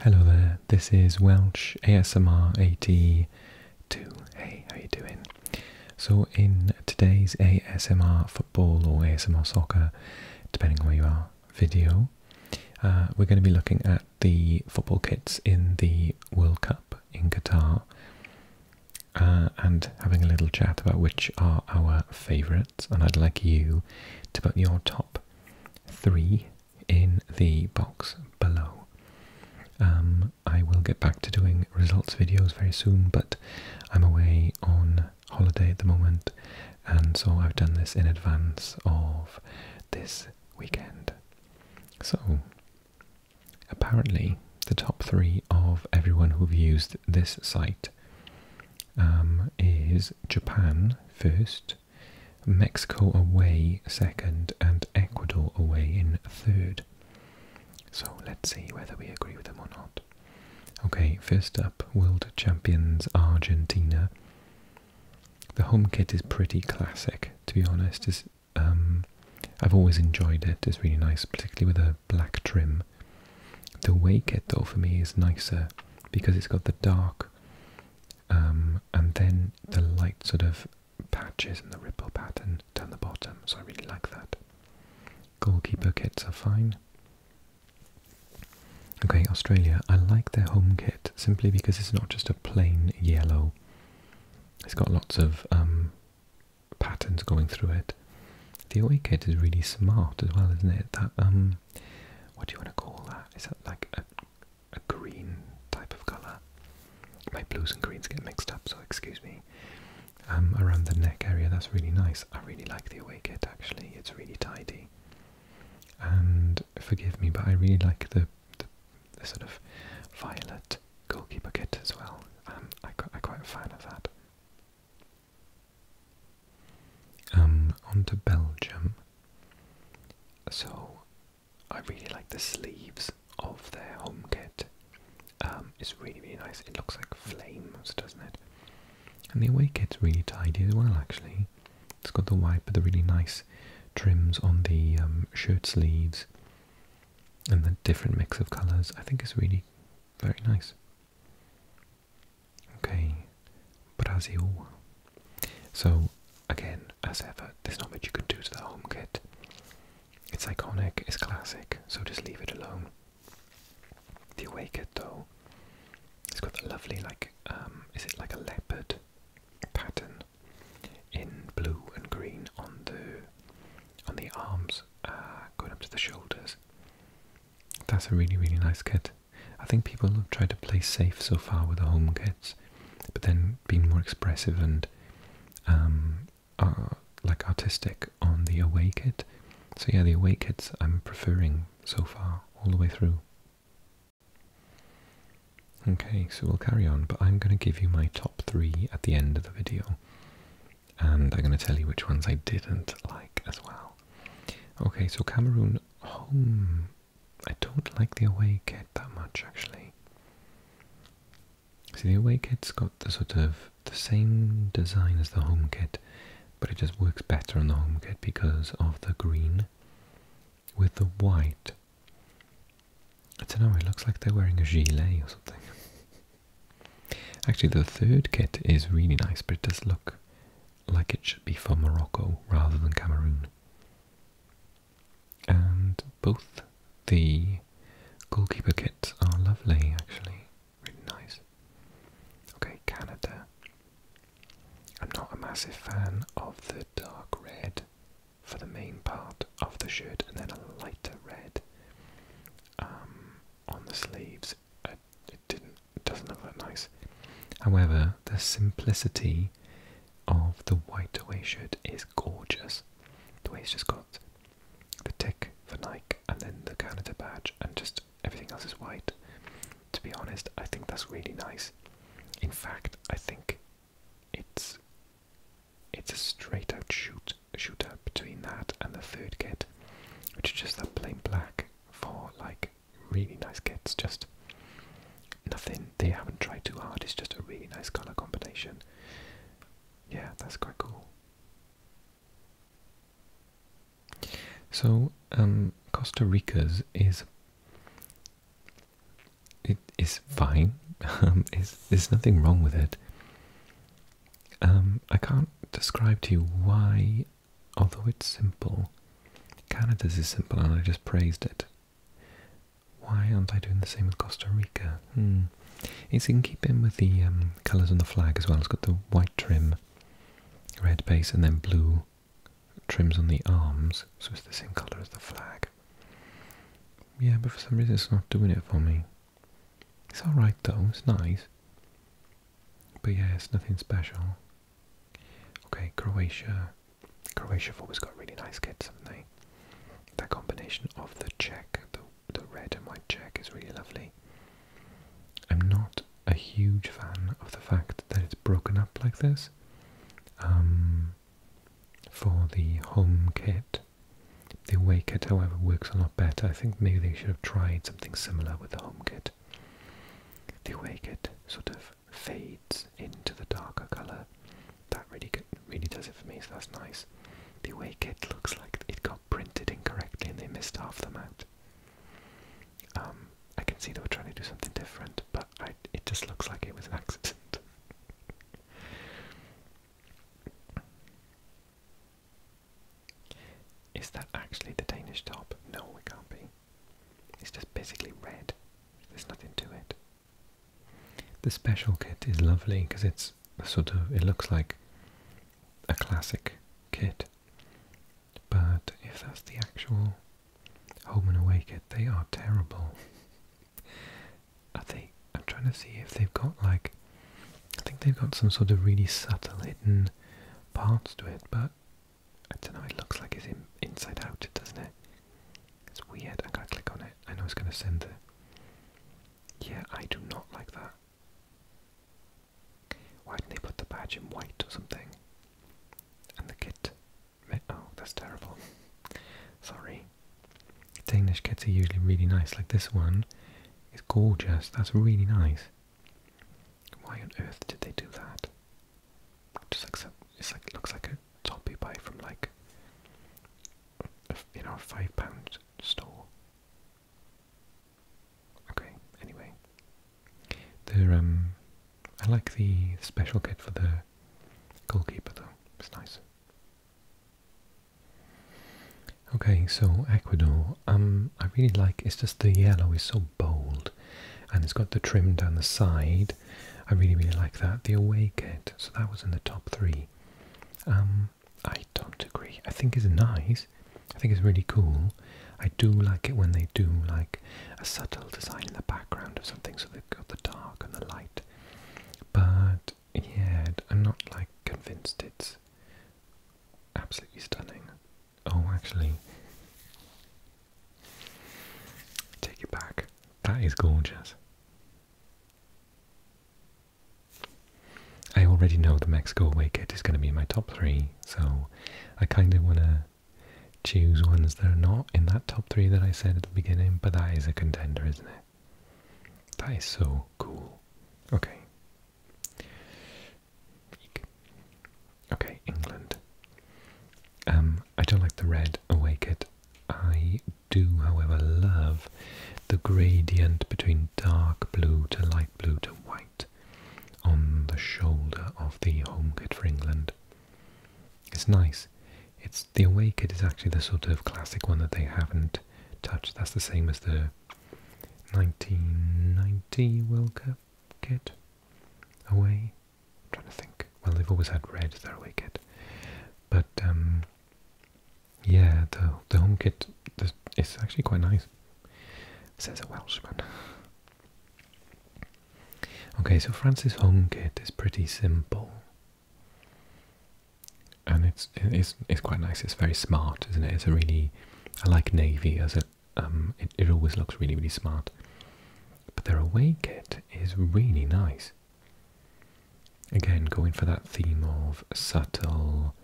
Hello there, this is Welch ASMR 82. Hey, how you doing? So in today's ASMR football or ASMR soccer, depending where you are, video, uh, we're going to be looking at the football kits in the World Cup in Qatar uh, and having a little chat about which are our favourite and I'd like you to put your top three in the box below. Um, I will get back to doing results videos very soon, but I'm away on holiday at the moment, and so I've done this in advance of this weekend. So, apparently, the top three of everyone who've used this site um, is Japan first, Mexico away second, and Ecuador away in third. So let's see whether we agree with them or not. Okay, first up, world champions Argentina. The home kit is pretty classic, to be honest. It's, um, I've always enjoyed it, it's really nice, particularly with a black trim. The away kit, though, for me is nicer because it's got the dark um, and then the light sort of patches and the ripple pattern down the bottom, so I really like that. Goalkeeper kits are fine. Okay, Australia. I like their home kit simply because it's not just a plain yellow. It's got lots of um, patterns going through it. The away kit is really smart as well, isn't it? That um, what do you want to call that? Is that like a, green type of colour? My blues and greens get mixed up, so excuse me. Um, around the neck area, that's really nice. I really like the away kit actually, it's really tidy. And forgive me, but I really like the, the, the sort of violet goalkeeper kit as well. Um, I, I quite a fan of that. Um, on to Belgium. So, I really like the sleeves of their home kit. Um, it's really, really nice. It looks like flames, doesn't it? And the away kit's really tidy as well, actually. It's got the white, but the really nice trims on the um, shirt sleeves and the different mix of colours. I think it's really very nice. Okay, Brazil. So, again, as ever, there's not much you could do to the home kit. It's iconic, it's classic, so just leave it alone. The away though, it's got the lovely, like, um, is it like a leopard pattern in blue and green on the on the arms, uh, going up to the shoulders. That's a really, really nice kit. I think people have tried to play safe so far with the home kits, but then being more expressive and um, uh, like artistic on the away kit. So yeah, the away kits I'm preferring so far, all the way through. Okay, so we'll carry on, but I'm going to give you my top three at the end of the video. And I'm going to tell you which ones I didn't like as well. Okay, so Cameroon home I don't like the away kit that much actually. See, the away kit's got the sort of the same design as the home kit, but it just works better on the home kit because of the green with the white. I don't know, it looks like they're wearing a gilet or something. Actually, the third kit is really nice, but it does look like it should be for Morocco rather than Cameroon. And both the goalkeeper kits are lovely, actually. Really nice. Okay, Canada. I'm not a massive fan of the dark red for the main part of the shirt and then a lighter red um, on the sleeves it doesn't look nice. However, the simplicity of the white away shirt is gorgeous. The way it's just got the tick for Nike and then the Canada badge and just everything else is white. To be honest, I think that's really nice. In fact, I think it's it's a straight out shoot shootout between that and the third kit, which is just that plain black for like really nice kits. Just nothing. They haven't tried too hard. It's just a really nice color combination. Yeah, that's quite cool. So um, Costa Rica's is it is fine. is um, there's nothing wrong with it. Um, I can't describe to you why although it's simple, Canada's is simple and I just praised it. Why aren't I doing the same with Costa Rica? Hmm. It's in keeping with the um, colours on the flag as well. It's got the white trim, red base, and then blue trims on the arms, so it's the same colour as the flag. Yeah, but for some reason it's not doing it for me. It's alright though, it's nice. But yeah, it's nothing special. Okay, Croatia. Croatia have always got really nice kits, haven't they? That combination of the check, the, the red and white check, is really lovely. I'm not a huge fan of the fact that it's broken up like this. Um, for the home kit. The away kit, however, works a lot better. I think maybe they should have tried something similar with the home kit. The away kit sort of fades into the darker colour. That really really does it for me, so that's nice. The way it looks like it got printed incorrectly and they missed half the mat. Um, I can see they were trying to do something different, but it just looks like it was an accident. Is that actually the Danish top? No, we can't be. It's just basically red. There's nothing to it. The special kit is lovely because it's sort of, it looks like a classic kit. But if that's the actual home and away kit, they are terrible. I think I'm trying to see if they've got like, I think they've got some sort of really subtle hidden parts to it, but I don't know, it looks like it's inside out, doesn't it? It's weird. I'm going to click on it. I know it's going to send the... Yeah, I do not like that. Why did they put the badge in white or something? And the kit... Oh, that's terrible. Sorry. Danish kits are usually really nice, like this one. is gorgeous. That's really nice. Why on earth did they do that? just like some, it's like looks like a top pie from like you know a five pound store. Okay, anyway, they um, I like the special kit for the goalkeeper though. It's nice. Okay, so Ecuador, um, I really like. It's just the yellow is so bold. And it's got the trim down the side. I really, really like that. The away kit. So that was in the top three. Um, I don't agree. I think it's nice. I think it's really cool. I do like it when they do like a subtle design in the background of something, so they've got the dark and the light. But yeah, I'm not like convinced it's absolutely stunning. Oh, actually, Take it back. That is gorgeous. I already know the Mexico away kit is going to be my top three, so I kind of want to choose ones that are not in that top three that I said at the beginning, but that is a contender, isn't it? That is so cool. Okay. Okay, England. Um, I don't like the red away kit. I do, however, love the gradient between dark blue to light blue to white on the shoulder of the home kit for England. It's nice. It's the away kit is actually the sort of classic one that they haven't touched. That's the same as the 1990 World kit away trying to think. Well, they've always had red their away kit, but um, yeah, the the home kit is actually quite nice. Says a Welshman. Okay, so Francis home kit is pretty simple, and it's it's it's quite nice. It's very smart, isn't it? It's a really I like navy as um, it it always looks really really smart. But their away kit is really nice. Again, going for that theme of subtle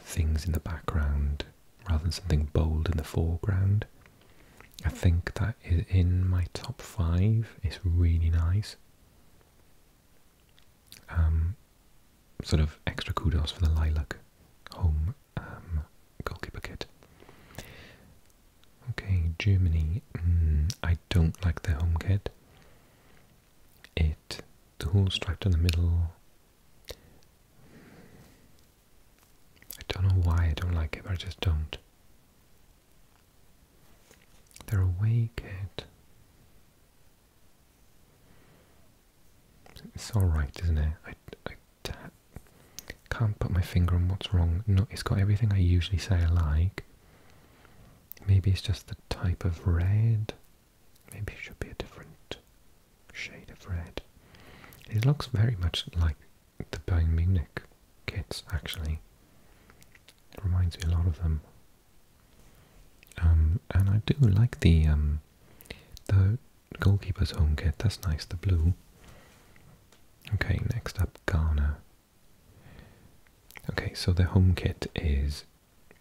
things in the background rather than something bold in the foreground. I think that is in my top five. It's really nice. Um, sort of extra kudos for the lilac home um, goalkeeper kit. Okay, Germany. Hmm, I don't like their home kit. It, the whole striped in the middle. I don't know why I don't like it, I just don't. Their away kit. It's alright, isn't it? I can't put my finger on what's wrong. it's got everything I usually say I like. Maybe it's just the type of red. Maybe it should be a different shade of red. It looks very much like the Bayern Munich kits, actually. It reminds me a lot of them. Um, and I do like the um, the goalkeeper's home kit. That's nice, the blue. Okay, next up Ghana. Okay, so the home kit is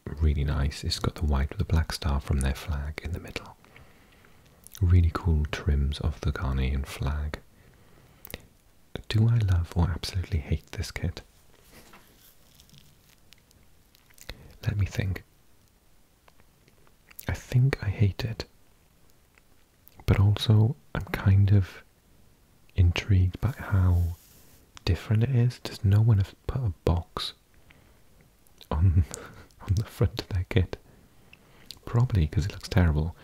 really nice. It's got the white with the black star from their flag in the middle. Really cool trims of the Ghanaian flag. Do I love or absolutely hate this kit? Let me think. I think I hate it but also I'm kind of intrigued by how different it is. Does no one have put a box on on the front of their kit? Probably because it looks terrible,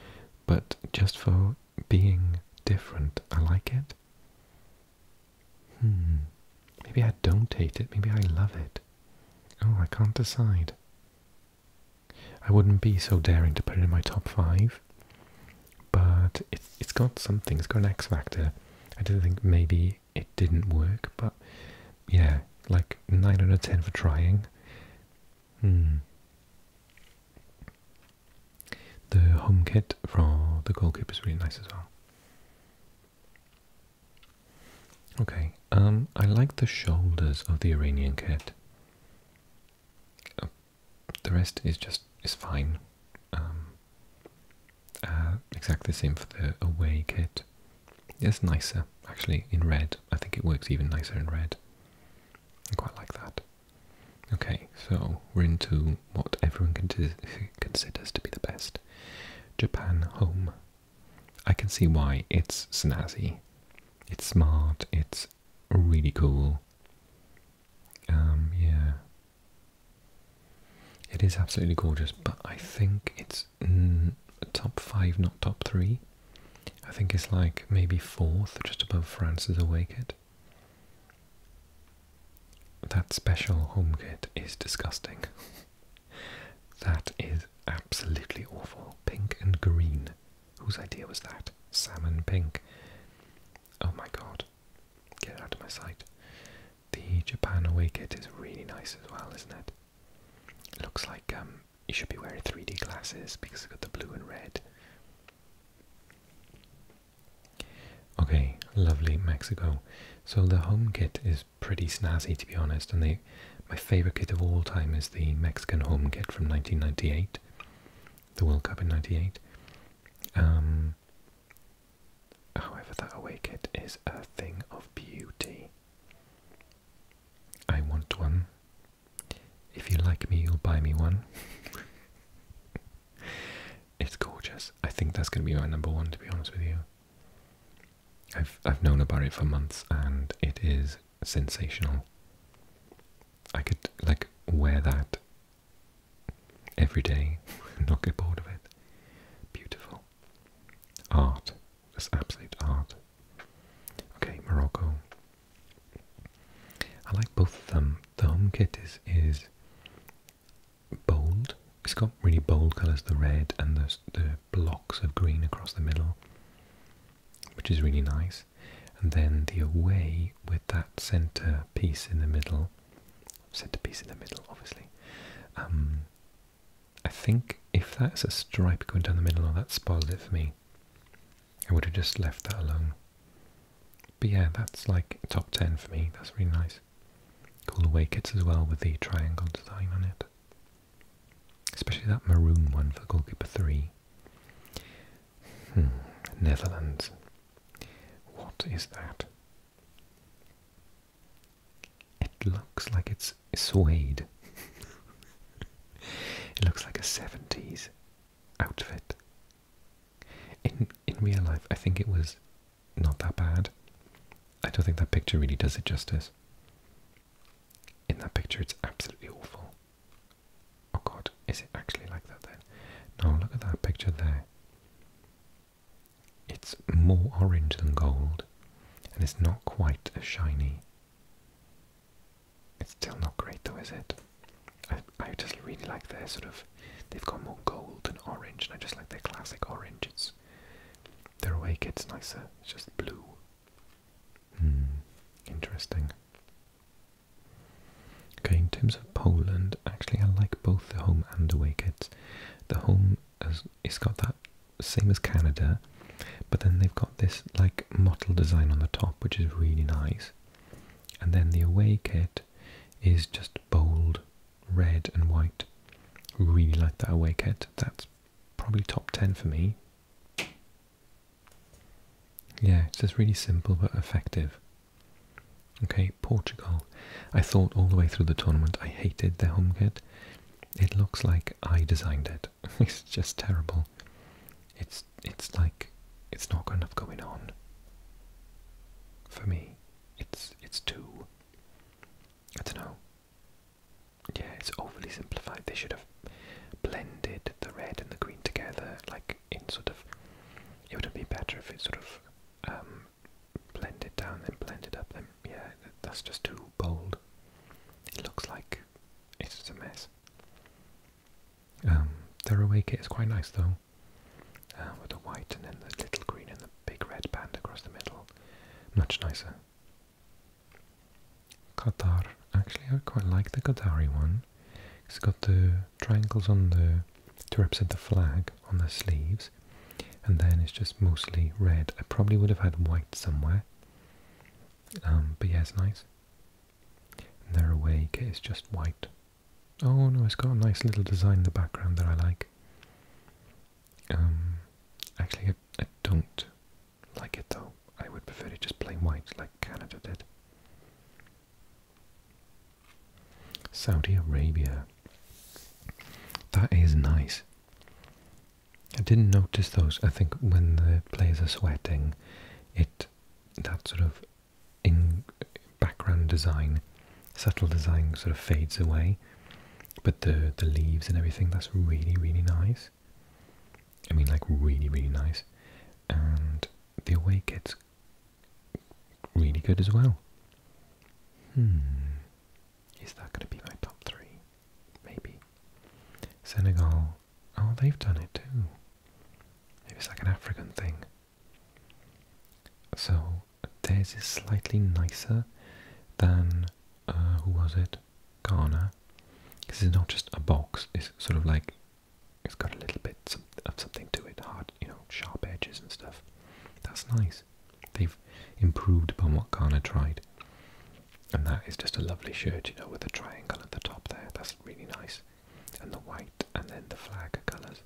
but just for being different, I like it. Hmm. Maybe I don't hate it. Maybe I love it. Oh, I can't decide. I wouldn't be so daring to put it in my top five, but it's it's got something. It's got an X factor. I do not think maybe it didn't work, but yeah, like nine out of ten for trying. Hmm. The home kit for the goalkeeper is really nice as well. Okay, um, I like the shoulders of the Iranian kit the rest is just is fine. Um, uh, exactly the same for the away kit. It's nicer actually in red. I think it works even nicer in red. I quite like that. Okay, so we're into what everyone considers to be the best. Japan Home. I can see why it's snazzy. It's smart, it's really cool. Um, yeah. It is absolutely gorgeous, but I think it's mm, top five, not top three. I think it's like maybe fourth, just above France's away kit. That special home kit is disgusting. that is absolutely awful. Pink and green. Whose idea was that? Salmon pink. Oh my god. Get out of my sight. The Japan away kit is really nice as well, isn't it? looks like um, you should be wearing 3D glasses because it's got the blue and red. Okay, lovely Mexico. So the home kit is pretty snazzy to be honest, and my favorite kit of all time is the Mexican home kit from 1998 the World Cup in '98. Um, however, that away kit is a thing of beauty. I want one. If you like me, you'll buy me one. it's gorgeous. I think that's going to be my number one, to be honest with you. I've I've known about it for months, and it is sensational. I could like wear that every day and not get bored of it. Beautiful. Art. Just absolute art. Okay, Morocco. I like both of them. The home kit is is bold. It's got really bold colours, the red and the, the blocks of green across the middle which is really nice. And then the away with that center piece in the middle, center piece in the middle, obviously. Um, I think if that's a stripe going down the middle, oh, that spoiled it for me. I would have just left that alone. But yeah, that's like top 10 for me. That's really nice. Cool away kits as well with the triangle design on it. Especially that maroon one for goalkeeper 3. Hmm. Netherlands. What is that? It looks like it's suede. it looks like a 70s outfit. In in real life, I think it was not that bad. I don't think that picture really does it justice. In that picture, it's absolutely awful. Oh god, is it actually like that then? No, look at that picture there. It's more orange than gold, and it's not quite as shiny. It's still not great though, is it? I, I just really like their sort of, they've got more gold than orange, and I just like their classic orange. It's, They're away It's nicer, it's just blue. Hmm, interesting. Okay, in terms of Poland, actually I like both the home and away kits. The home is got that same as Canada, but then they've got this like mottle design on the top, which is really nice. And then the away kit is just bold red and white. Really like that away kit. That's probably top ten for me. Yeah, it's just really simple but effective. Okay, Portugal. I thought all the way through the tournament I hated their home kit. It looks like I designed it. it's just terrible. It's it's like it's not got enough going on. For me, it's it's too. I don't know. Yeah, it's overly simplified. They should have blended the red and the green together, like in sort of, it would be better if it sort of um, blended down and blended up. Then yeah, that's just too bold. It looks like it's a mess. Um, their away kit is quite nice though, uh, with the white and then the little green and the big red band across the middle, much nicer. Qatar. Actually, I quite like the Qatari one. It's got the triangles on the to represent the flag on the sleeves, and then it's just mostly red. I probably would have had white somewhere, um, but yeah, it's nice. And their away kit just white. Oh no, it's got a nice little design in the background that I like. Um, actually, I, I don't like it though. I would prefer it just plain white, like Canada did. Saudi Arabia. That is nice. I didn't notice those. I think when the players are sweating, it that sort of in background design, subtle design sort of fades away. But the the leaves and everything, that's really really nice. I mean, like really really nice. And the away kit's really good as well. Hmm. Is that going to be my top three? Maybe. Senegal. Oh, they've done it too. Maybe it's like an African thing. So, theirs is slightly nicer than, uh, who was it? Ghana. This is not just a box, it's sort of like it's got a little bit of something to it, hard, you know, sharp edges and stuff. That's nice. They've improved upon what Kana tried. And that is just a lovely shirt, you know, with a triangle at the top there. That's really nice. And the white and then the flag colours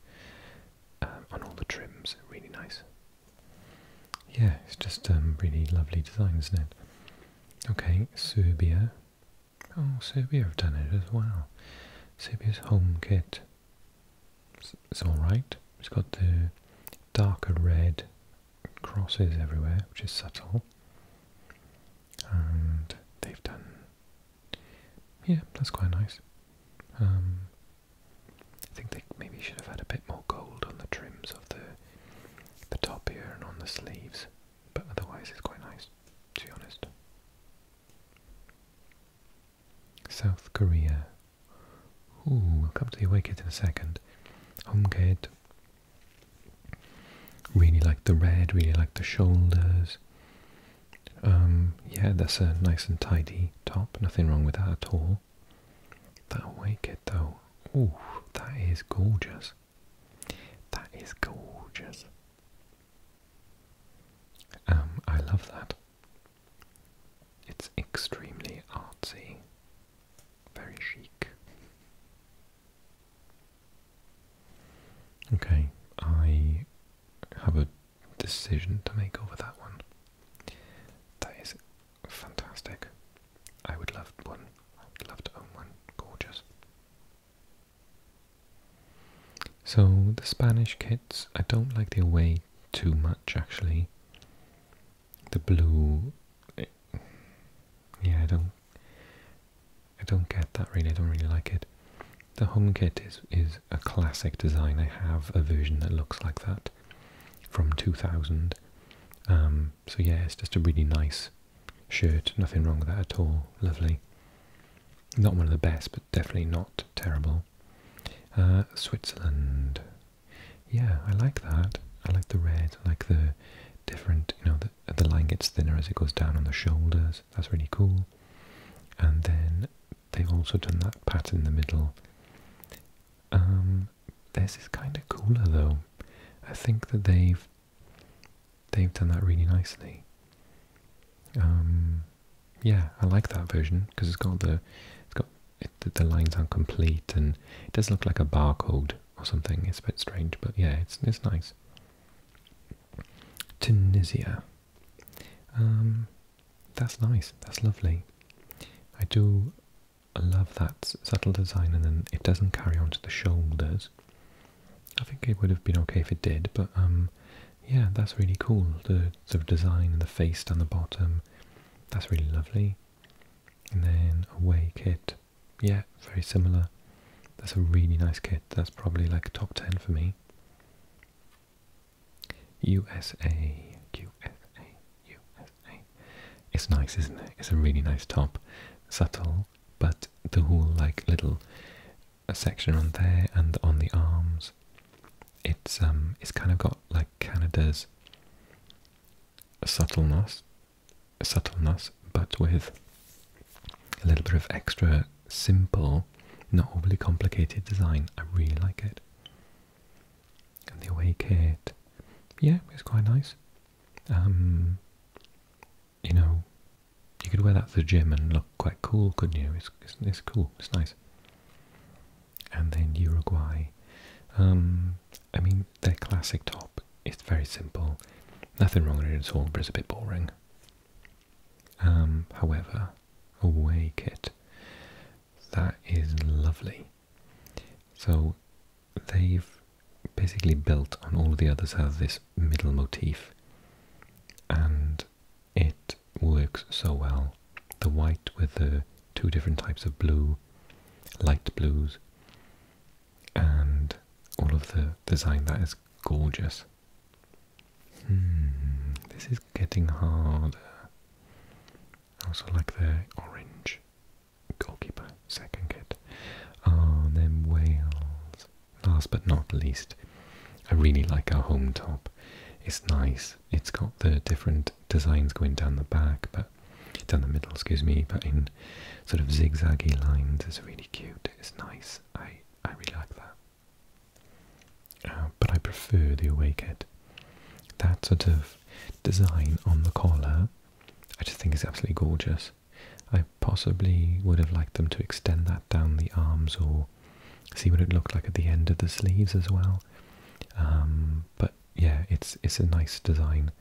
um, on all the trims. Really nice. Yeah, it's just um, really lovely design, isn't it? Okay, Serbia. Oh, Serbia have done it as well. Serbia's home kit. It's, alright. It's got the darker red crosses everywhere, which is subtle. And they've done... Yeah, that's quite nice. Um, I think they maybe should have had a bit more gold on the trims of the the top here and on the sleeves but otherwise it's quite nice, to be honest. South Korea. Ooh, we'll come to the away kit in a second. Home kit. Really like the red, really like the shoulders. Um, yeah, that's a nice and tidy top, nothing wrong with that at all. That away kit though, ooh, that is gorgeous. That is gorgeous. Um, I love that. It's extremely artsy, very chic. Okay, I have a decision to make over that one. That is fantastic. I would love one. I would love to own one. Gorgeous. So the Spanish kits, I don't like their way too much actually. The blue, eh, yeah, I don't, I don't get that really. I don't really like it. The home kit is is a classic design. I have a version that looks like that from 2000. Um, so yeah, it's just a really nice shirt, nothing wrong with that at all, lovely. Not one of the best, but definitely not terrible. Uh, Switzerland, yeah, I like that. I like the red, I like the different, you know, the, the line gets thinner as it goes down on the shoulders, that's really cool. And then they've also done that pattern in the middle. Um, this is kind of cooler though. I think that they've they've done that really nicely. Um, yeah, I like that version because it's got the it's got the, lines aren't complete and it does look like a barcode or something. It's a bit strange, but yeah, it's it's nice. Tunisia, um, that's nice. That's lovely. I do love that subtle design, and then it doesn't carry on to the shoulders. I think it would have been okay if it did, but um, yeah, that's really cool. The the design and the face down the bottom, that's really lovely. And then away kit, yeah, very similar. That's a really nice kit. That's probably like top ten for me. USA, USA, USA. It's nice, isn't it? It's a really nice top, subtle, but the whole like little a section on there and on the arms. It's um, it's kind of got like Canada's subtleness, subtleness, but with a little bit of extra simple, not overly complicated design. I really like it. And the away it, yeah, it's quite nice. Um, you know, you could wear that to the gym and look quite cool, couldn't you? It's, it's, cool, it's nice. And then Uruguay. Um, I mean, their classic top its very simple. Nothing wrong with it at all, but it's a bit boring. Um, however, away kit, that is lovely. So they've basically built on all the others have this middle motif and it works so well. The white with the two different types of blue, light blues, and all of the design that is gorgeous. Hmm, this is getting harder. also like the orange goalkeeper second kit. Oh, them Wales. Last but not least, I really like our home top. It's nice. It's got the different designs going down the back, but down the middle, excuse me, but in sort of zigzaggy lines. It's really cute. It's nice. I, I really like that. Uh, but I prefer the awake head. That sort of design on the collar, I just think is absolutely gorgeous. I possibly would have liked them to extend that down the arms or see what it looked like at the end of the sleeves as well. Um, but yeah, it's it's a nice design.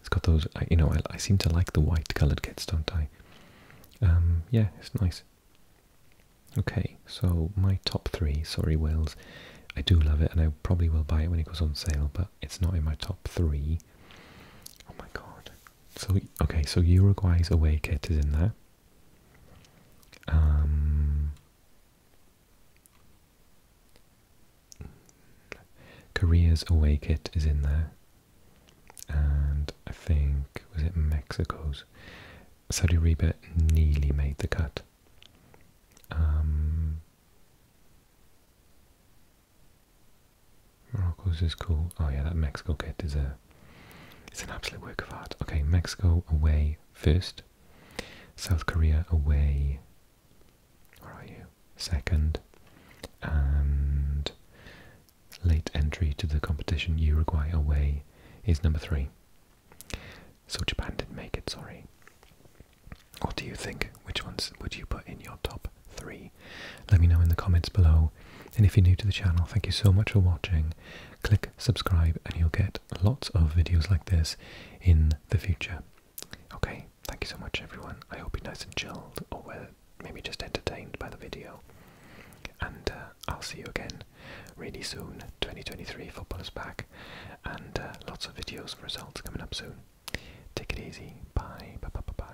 It's got those, you know, I, seem to like the white coloured kits, don't I? Um, yeah, it's nice. Okay, so my top three, sorry Wills, I do love it and I probably will buy it when it goes on sale, but it's not in my top three. Oh my god. So, okay, so Uruguay's away kit is in there. Korea's um, away kit is in there. And I think, was it Mexico's? Saudi Arabia nearly made the cut. Um, Morocco's is cool. Oh yeah, that Mexico kit is a it's an absolute work of art. Okay, Mexico away first. South Korea away. Where are you? Second. And late entry to the competition, Uruguay away is number three. So Japan didn't make it, sorry. What do you think? Which ones would you put in your top three let me know in the comments below. And if you're new to the channel, thank you so much for watching. Click subscribe and you'll get lots of videos like this in the future. Okay, thank you so much everyone. I hope you're nice and chilled or well, maybe just entertained by the video. And uh, I'll see you again really soon. 2023 football is back and uh, lots of videos and results coming up soon. Take it easy. Bye bye bye bye.